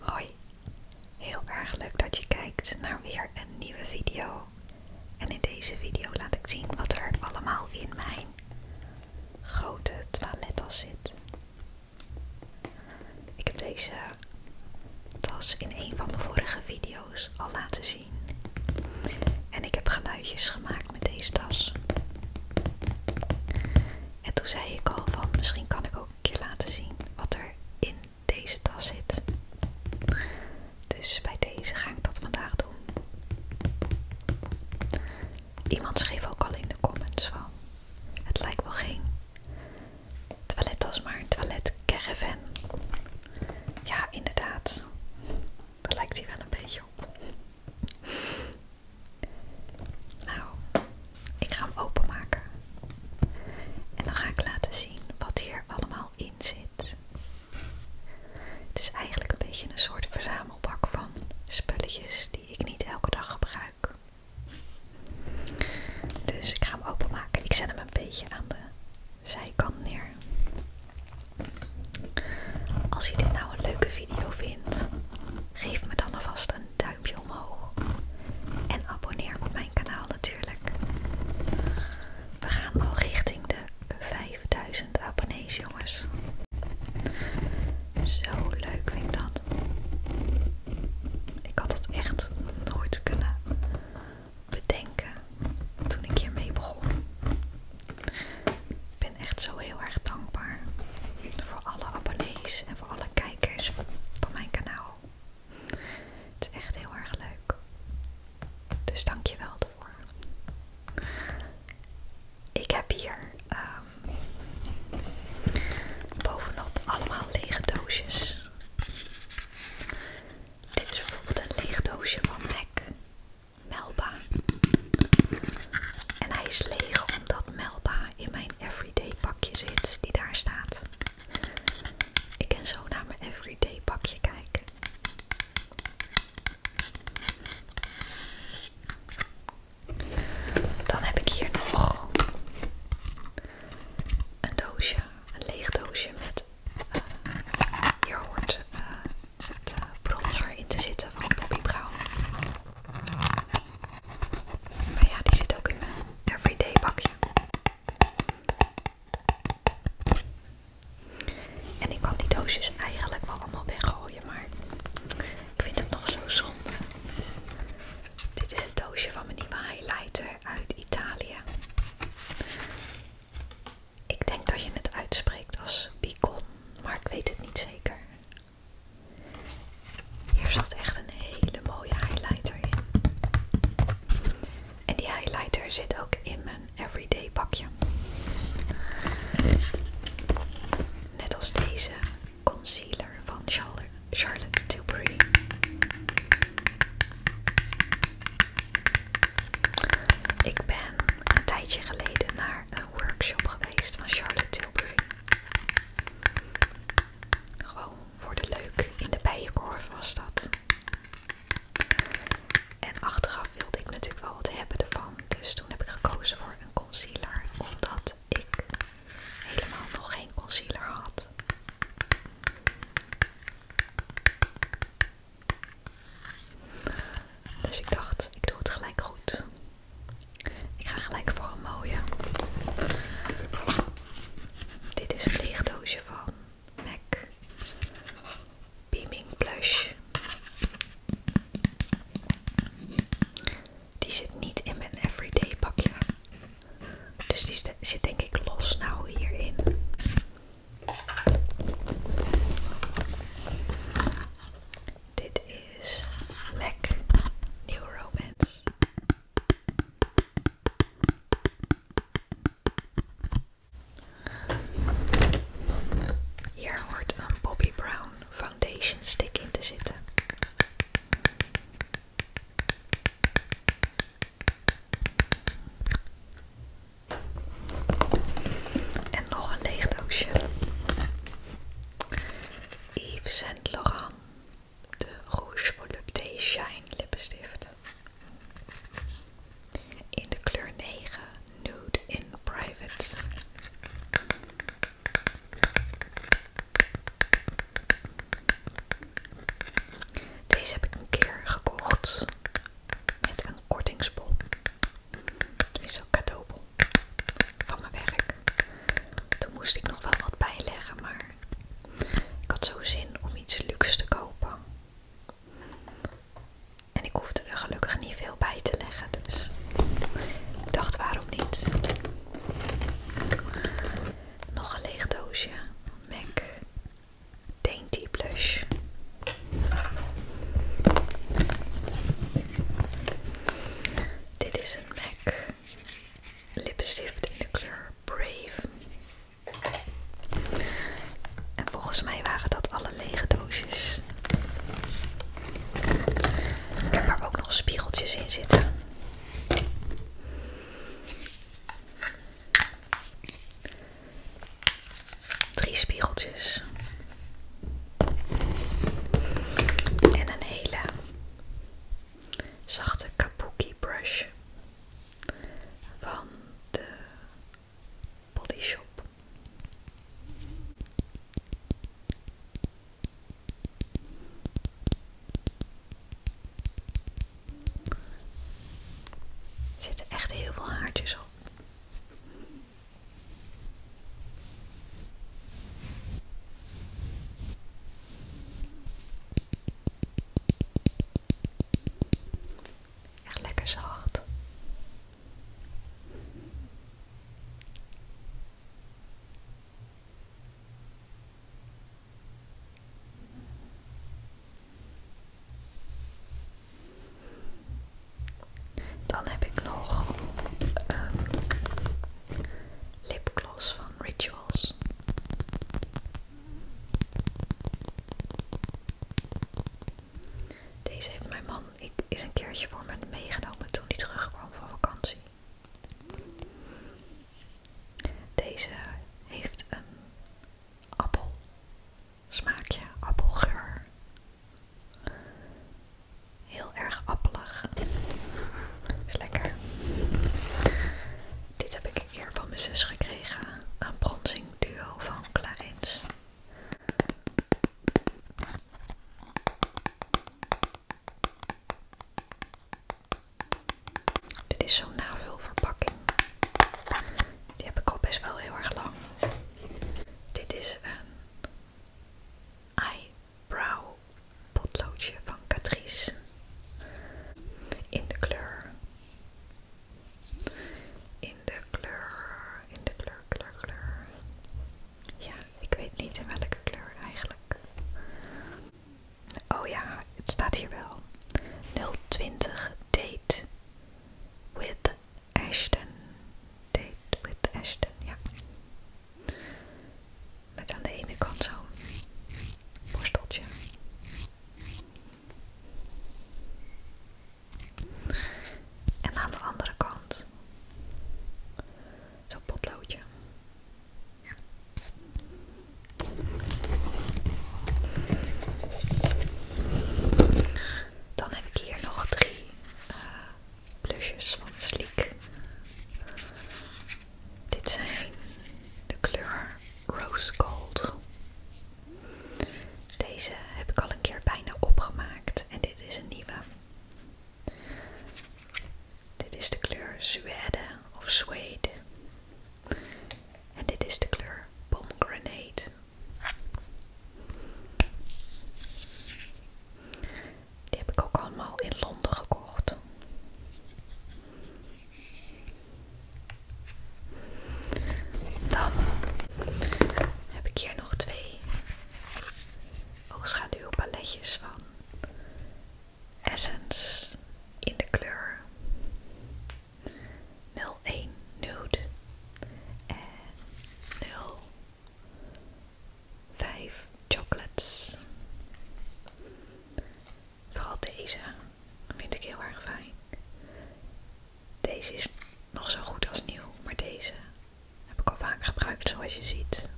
Hoi, heel erg leuk dat je kijkt naar weer een nieuwe video. En in deze video laat ik zien wat er allemaal in mijn grote toilettas zit. Ik heb deze tas in een van de vorige video's al laten zien. En ik heb geluidjes gemaakt met deze tas. En toen zei ik al van misschien kan ik ook een keer laten zien wat er in deze tas zit. Dus bij deze ga ik dat vandaag doen. Iemand schreef ook al in de comments van het lijkt wel geen toilettas, maar een toilet caravan. Ja, inderdaad. Daar lijkt hij wel een beetje op. Nou, ik ga hem openmaken. En dan ga ik laten zien wat hier allemaal in zit. Het is eigenlijk een beetje een soort verzamelbak van spulletjes die ik niet elke dag gebruik. Dus ik ga hem openmaken. Ik zet hem een beetje aan de zijkant neer. Als je dit nou een leuke video vindt, geef me dan alvast een duimpje omhoog. En abonneer op mijn kanaal natuurlijk. We gaan al richting de 5000 abonnees, jongens. Zo leuk vind ik dat. Ik had dat echt nooit kunnen bedenken toen ik hiermee begon. Ik ben echt zo heel erg dankbaar voor alle abonnees en voor alle kijkers van mijn kanaal. Het is echt heel erg leuk. Dus dank je wel daarvoor. Ik heb hier ehm, bovenop allemaal lege doosjes. Dit is bijvoorbeeld een leeg doosje van MAC. Melba. En hij is leeg omdat Melba in mijn everyday pakje zit die daar staat. Ik kan zo naar mijn everyday pakje kijken. Dan heb ik hier nog een doosje, een leeg doosje met. Eh, hier hoort eh, bronzer in te zitten van Poppy Brown. Maar ja, die zit ook in mijn everyday bakje. En ik kan die doosjes eigenlijk wel allemaal weggooien, maar ik vind het nog zo zonde. Dit is het doosje van mijn nieuwe highlighter uit Italië. Ik denk dat je het uitspreekt als bicon, maar ik weet het niet zeker. Hier zat echt een hele mooie highlighter in. En die highlighter zit ook in mijn everyday pakje. Net als deze concealer van Charlotte Tilbury. Ik ben een tijdje geleden naar een workshop geweest van Charlotte Tilbury. Gewoon voor de leuk in de bijenkorf was dat. En achteraf wilde ik natuurlijk wel wat hebben ervan. Dus toen heb ik gekozen voor een concealer. Omdat ik helemaal nog geen concealer had. Dus ik dacht, ik doe het gelijk goed. Ik ga gelijk voor een mooie. Dit is een lichtdoosje van MAC Beaming Blush. Die zit niet in mijn everyday pakje. Dus die zit denk ik los nou hierin. Dit is Mac New Romance. Hier hoort een Bobbi Brown foundation stick in te zitten. En nog een leeg doosje. Yves Saint Laurent. De Rouge Volupté Shine lippenstift. In de kleur 9. Nude in Private. Deze heb ik een keer gekocht met een kortingsbon. Dit is ook cadeau van mijn werk. Toen moest ik nog wel wat bijleggen, maar ik had zo zin om iets luxe te kopen. En ik hoefde er gelukkig niet veel bij te leggen, dus ik dacht waarom niet. Nog een leeg doosje. MAC Dainty Blush. Dit is een MAC lippenstift in de kleur Brave. En volgens mij waren dat alle lege doosjes. Ik er ook nog spiegeltjes in zitten. Drie spiegeltjes. En een hele zachte kabuki brush van de Body Shop. Er zitten echt heel veel haartjes op. Echt lekker zacht. Dan heb ik nog um, lipgloss van Rituals. Deze heeft mijn man ik, is een keertje voor me meegenomen toen hij terugkwam van vakantie. Deze heeft een appel Smaakje appelgeur. Heel erg appelig. Is lekker. Dit heb ik een keer van mijn zus gekregen. Een bronsing duo van Clarins. Dit is zo'n navulverpakking. Die heb ik al best wel heel erg lang. Dit is een eyebrow potloodje van Catrice. In de kleur. In de kleur. In de kleur, kleur, kleur. Ja, ik weet niet in welke kleur eigenlijk. Oh ja, het staat hier wel. 020 date with Ashton. Date with Ashton, ja. Met aan de ene kant zo'n borsteltje. En aan de andere kant zo'n potloodje. Dan heb ik hier nog drie plusjes eh, van Sleek. Dit zijn de kleur Rose Gold. Deze heb ik al een keer bijna opgemaakt en dit is een nieuwe. Dit is de kleur Zweden of Suede. En dit is de kleur Pomegranate. Die heb ik ook allemaal in Londen gekocht. Dan heb ik hier nog twee oogschaduwpaletjes van Essence in de kleur 01 nude en 05 chocolates. Vooral deze vind ik heel erg fijn. Deze is nog zo goed als nieuw, maar deze heb ik al vaak gebruikt zoals je ziet.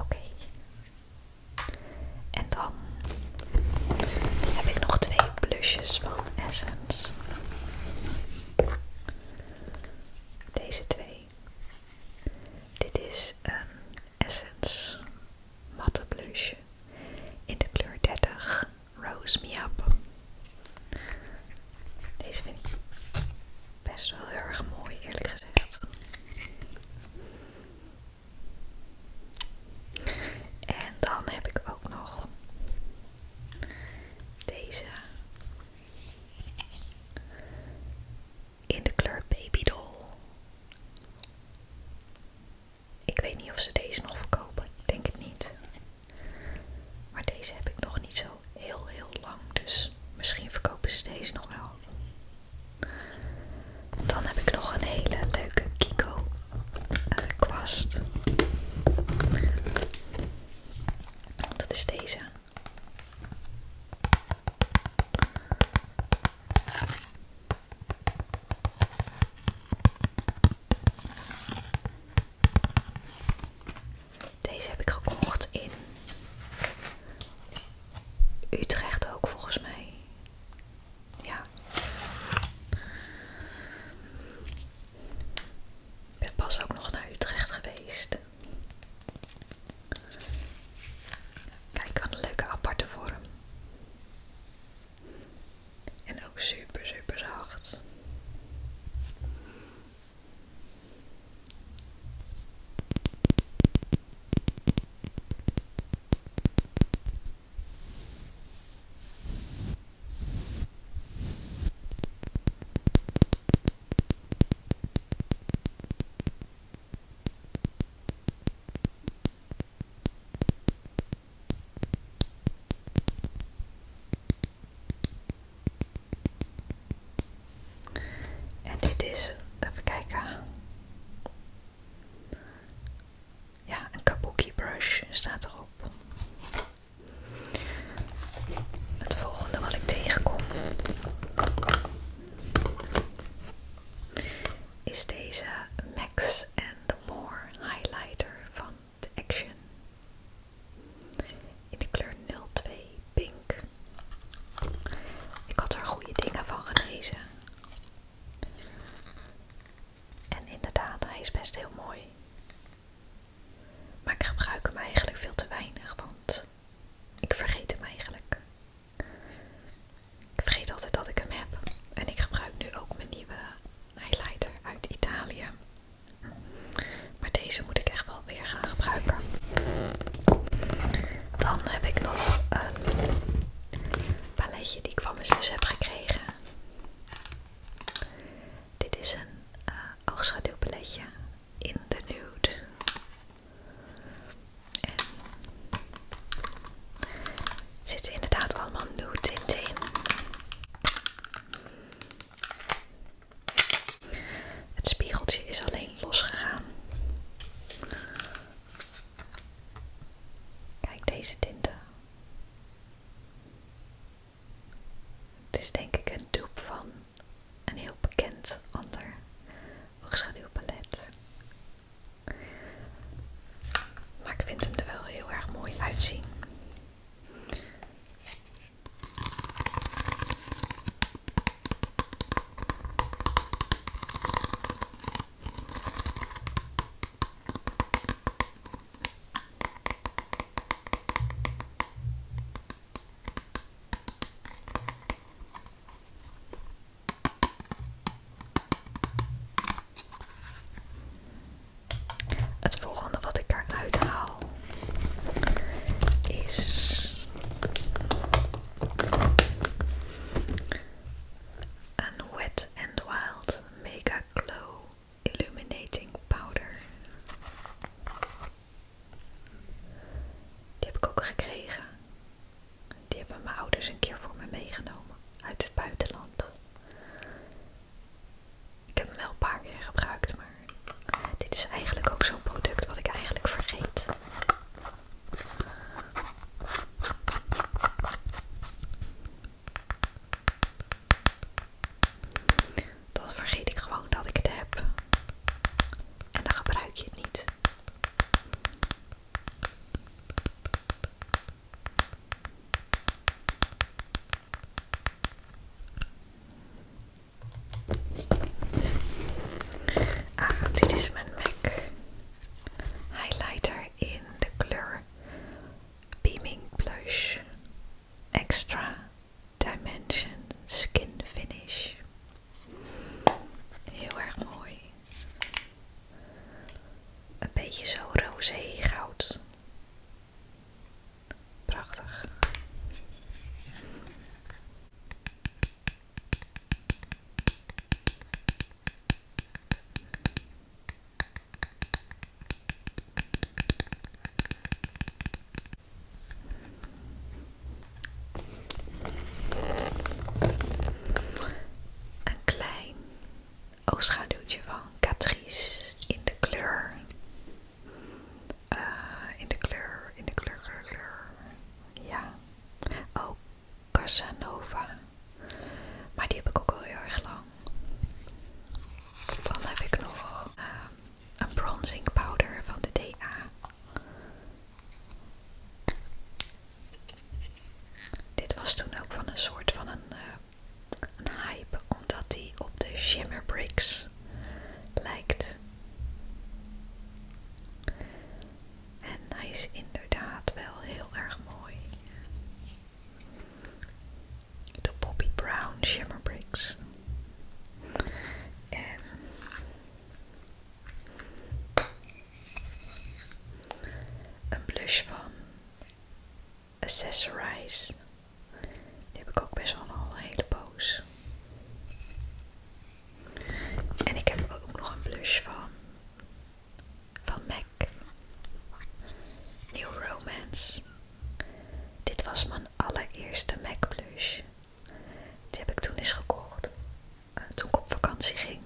Oké. En dan heb ik nog twee plusjes van Essence. Deze twee. Dit is een Essence matte blusje in de kleur 30 Rose Me Up. Deze vind ik best wel heel erg mooi, eerlijk gezegd. En dan heb ik ook nog deze in de kleur Baby Ik weet niet of ze deze nog verkopen. denk het niet. Maar deze heb ik nog niet zo heel heel lang. Dus misschien verkopen ze deze nog wel. Dan heb ik nog een hele leuke Kiko eh, kwast. Dat is deze. Deze heb ik gekocht in Utrecht ook volgens mij. Ja. Ik ben pas ook nog naar Utrecht geweest. Kijk, wat leuke aparte vorm. En ook super, super zacht. En dit is, even kijken. Ja, een kabuki brush staat erop het volgende wat ik tegenkom is deze Max and More highlighter van The Action in de kleur 02 pink. Ik had er goede dingen van gelezen. En inderdaad, hij is best heel mooi. Maar ik gebruik hem eigenlijk veel te weinig, want ik vergeet hem eigenlijk. Ik vergeet altijd dat ik hem heb. En ik gebruik nu ook mijn nieuwe highlighter uit Italië. Maar deze moet ik echt wel weer gaan gebruiken. Dan heb ik nog een paletje die ik van mijn zus heb gekregen. Dit is een uh, in de nude. Er zitten inderdaad allemaal nude Het spiegeltje is alleen losgegaan. Kijk deze tinten. Het is denk ik een dupe van een heel bekend ander palet, Maar ik vind hem er wel heel erg mooi uitzien. Het volgende wat ik eruit haal is een Wet and Wild Mega Glow Illuminating Powder. Die heb ik ook gekregen. Die hebben mijn ouders een keer voor me meegenomen uit het buitenland. Ik heb hem wel een paar keer gebruikt, maar dit is eigenlijk ook zo'n product wat ik eigenlijk vergeet dan vergeet ik gewoon dat ik het heb. En dan gebruik je het niet. Ah, dit is mijn MAC highlighter in de kleur Beaming Blush Extra Dimension Skin Finish. Heel erg mooi. Een beetje zo roze goud. Prachtig. Een klein oogschaduwtje van Catrice in de kleur. Eh, in de kleur, in de kleur, kleur, kleur. Ja. Oh, Casanova. Maar die heb ik ook al heel erg lang. Dan heb ik nog ehm, een bronzing powder van de DA. Dit was toen ook van een soort van een, eh, hype, omdat hij op de Shimmerbricks lijkt. En hij is inderdaad wel heel erg mooi. De Poppy Brown Shimmer Bricks. En een blush van Accessorize. Die heb ik ook best wel een hele poos. En ik heb ook nog een blush van, van MAC. New Romance. Dit was mijn allereerste MAC blush. Die heb ik toen eens gekocht. Eh, toen ik op vakantie ging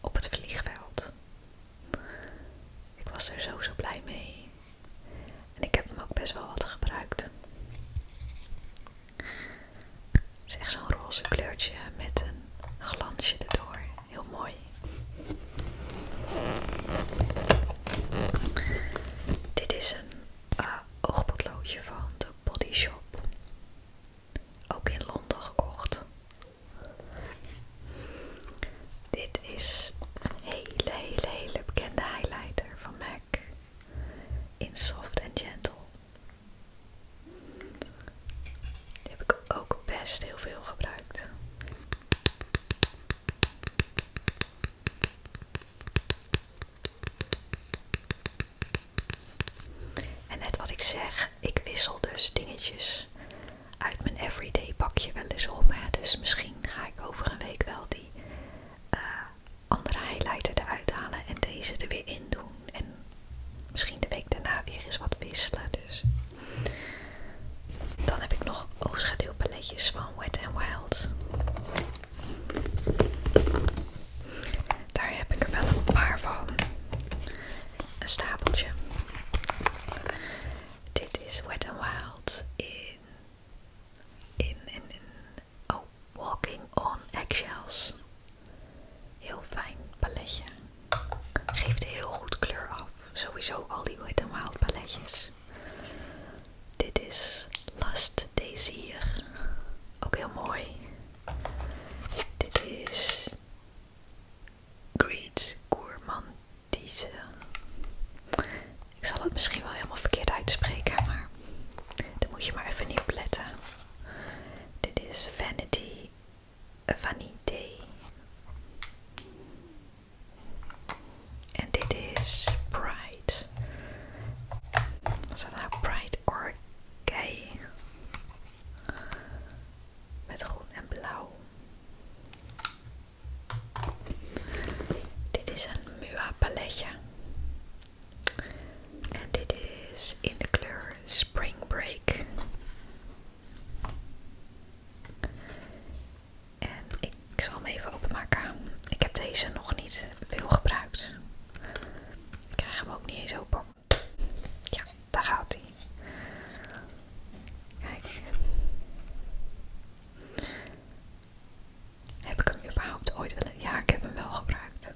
op het vliegveld. Ik was er zo zo blij mee. En ik heb hem ook best wel wat gebruikt. Het is echt zo'n roze kleurtje met een glansje erdoor. Heel mooi. Dit is een eh, oogpotloodje van The Body Shop. Ook in Londen gekocht. Dit is een hele, hele, hele bekende highlighter van MAC. In Soft and Gentle. Die heb ik ook best heel veel gebruikt. En net wat ik zeg, ik wissel dus dingetjes uit mijn everyday pakje wel eens om. Dus misschien ga ik over een week wel die eh, andere highlighter eruit halen en deze er weer in doen. En misschien de week daarna weer eens wat wisselen. Dus. Dan heb ik nog oogschaduwpaletjes van Wet n Wild. Daar heb ik er wel een paar van. Een stapeltje. Dit is Wet and Wild in, in, in, oh, Walking on Eggshells. Heel fijn paletje. Geeft heel goed kleur af. Sowieso al die Wet and Wild paletjes. Dit is Last Desir. Ook heel mooi. Dit is Greed Gourmandise. Ik zal het misschien wel helemaal verkeerd uitspreken, maar daar moet je maar even niet op Dit is Vanity Vanité. En dit is Pride. Was staat nou? Pride or Gay. Met groen en blauw. Dit is een Mua palletje. En dit is in de kleur Spring Break. En ik, zal hem even openmaken. Ik heb deze nog niet veel gebruikt. Ik krijg hem ook niet eens open. Ja, daar gaat hij. Kijk. Heb ik hem überhaupt ooit willen? Ja, ik heb hem wel gebruikt.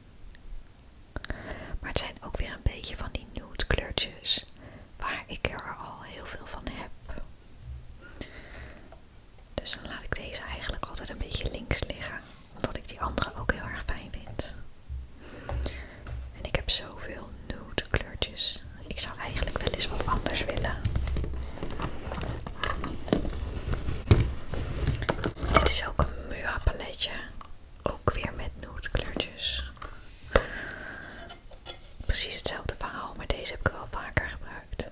Maar het zijn ook weer een beetje van die nude kleurtjes. Waar ik er al heel veel van heb. Dus dan laat ik deze eigenlijk altijd een beetje links liggen. Omdat ik die andere ook heel erg fijn vind. En ik heb zoveel nude kleurtjes. Ik zou eigenlijk wel eens wat anders willen. Dit is ook een mua paletje. Ook weer met nude kleurtjes. Precies hetzelfde verhaal, maar deze heb ik wel vaker gebruikt.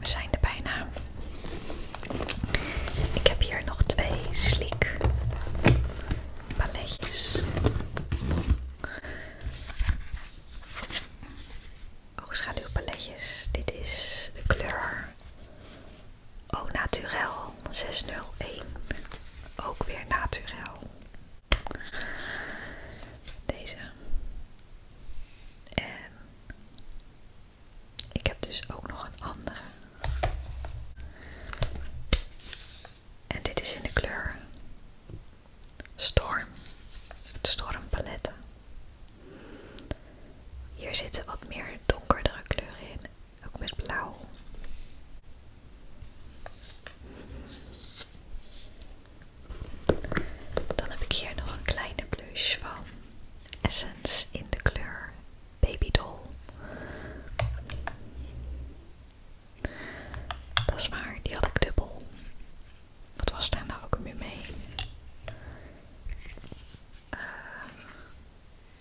We zijn er bijna. Ik heb hier nog twee slik balletjes. Oogschaduwpaletjes. Dit is de kleur O Naturel 601. Ook weer Naturel. Deze. En ik heb dus ook nog een andere. En dit is in de kleur Storm. Het paletten. Hier zitten wat meer donkerdere kleuren in. Ook met blauw. Dan heb ik hier nog een kleine blush van Essence in de kleur Baby Doll. Dat is waar, die had ik dubbel. Wat was daar nou ook nu mee? Eh,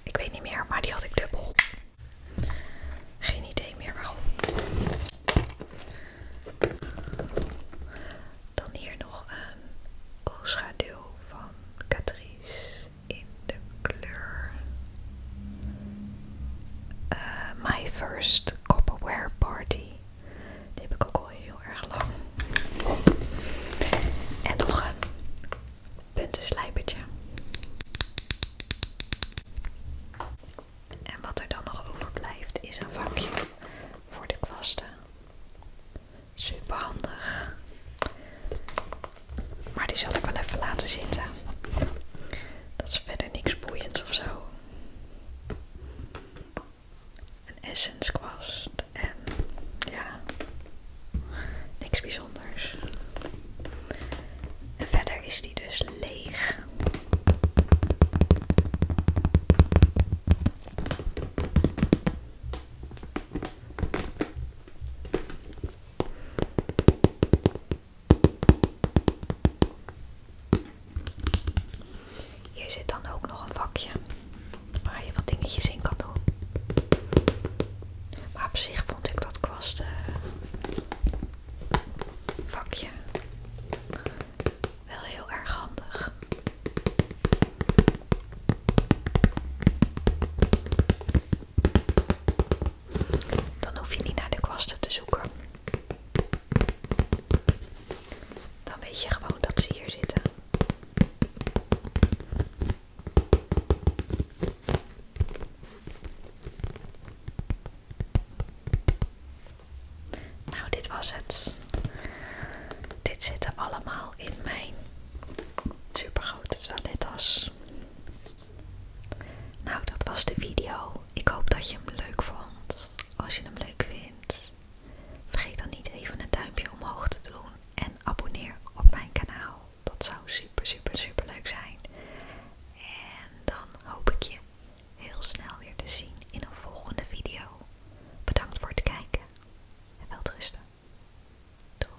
ik weet niet meer, maar die had ik dubbel. Geen idee meer waarom. Dan hier nog een oogschaduw van Catrice in de kleur eh, My First Copperware Party. Die heb ik ook al heel erg lang. En nog een puntenslijpertje. En wat er dan nog overblijft is een vakje voor de kwasten. Super handig. Maar die zal ik wel even laten zitten. Dat is verder niks boeiends of zo. Een essence kwast en ja, niks bijzonders. En verder is die dus leeg. Hier zit dan ook nog een vakje waar je wat dingetjes in kan doen. Maar op zich vond ik dat kwasten eh, vakje wel heel erg handig. Dan hoef je niet naar de kwasten te zoeken. Dan weet je gewoon dat ze hier zitten. Nou, dit was het. Dit zitten allemaal in mijn supergrote toilettas. Nou, dat was de video. Ik hoop dat je hem leuk vond. Als je hem leuk vindt, vergeet dan niet even een duimpje omhoog te doen en abonneer op mijn kanaal. Dat zou super, super, super leuk zijn. En dan hoop ik je heel snel weer te zien in een volgende video. Bedankt voor het kijken en wel rusten. Doei!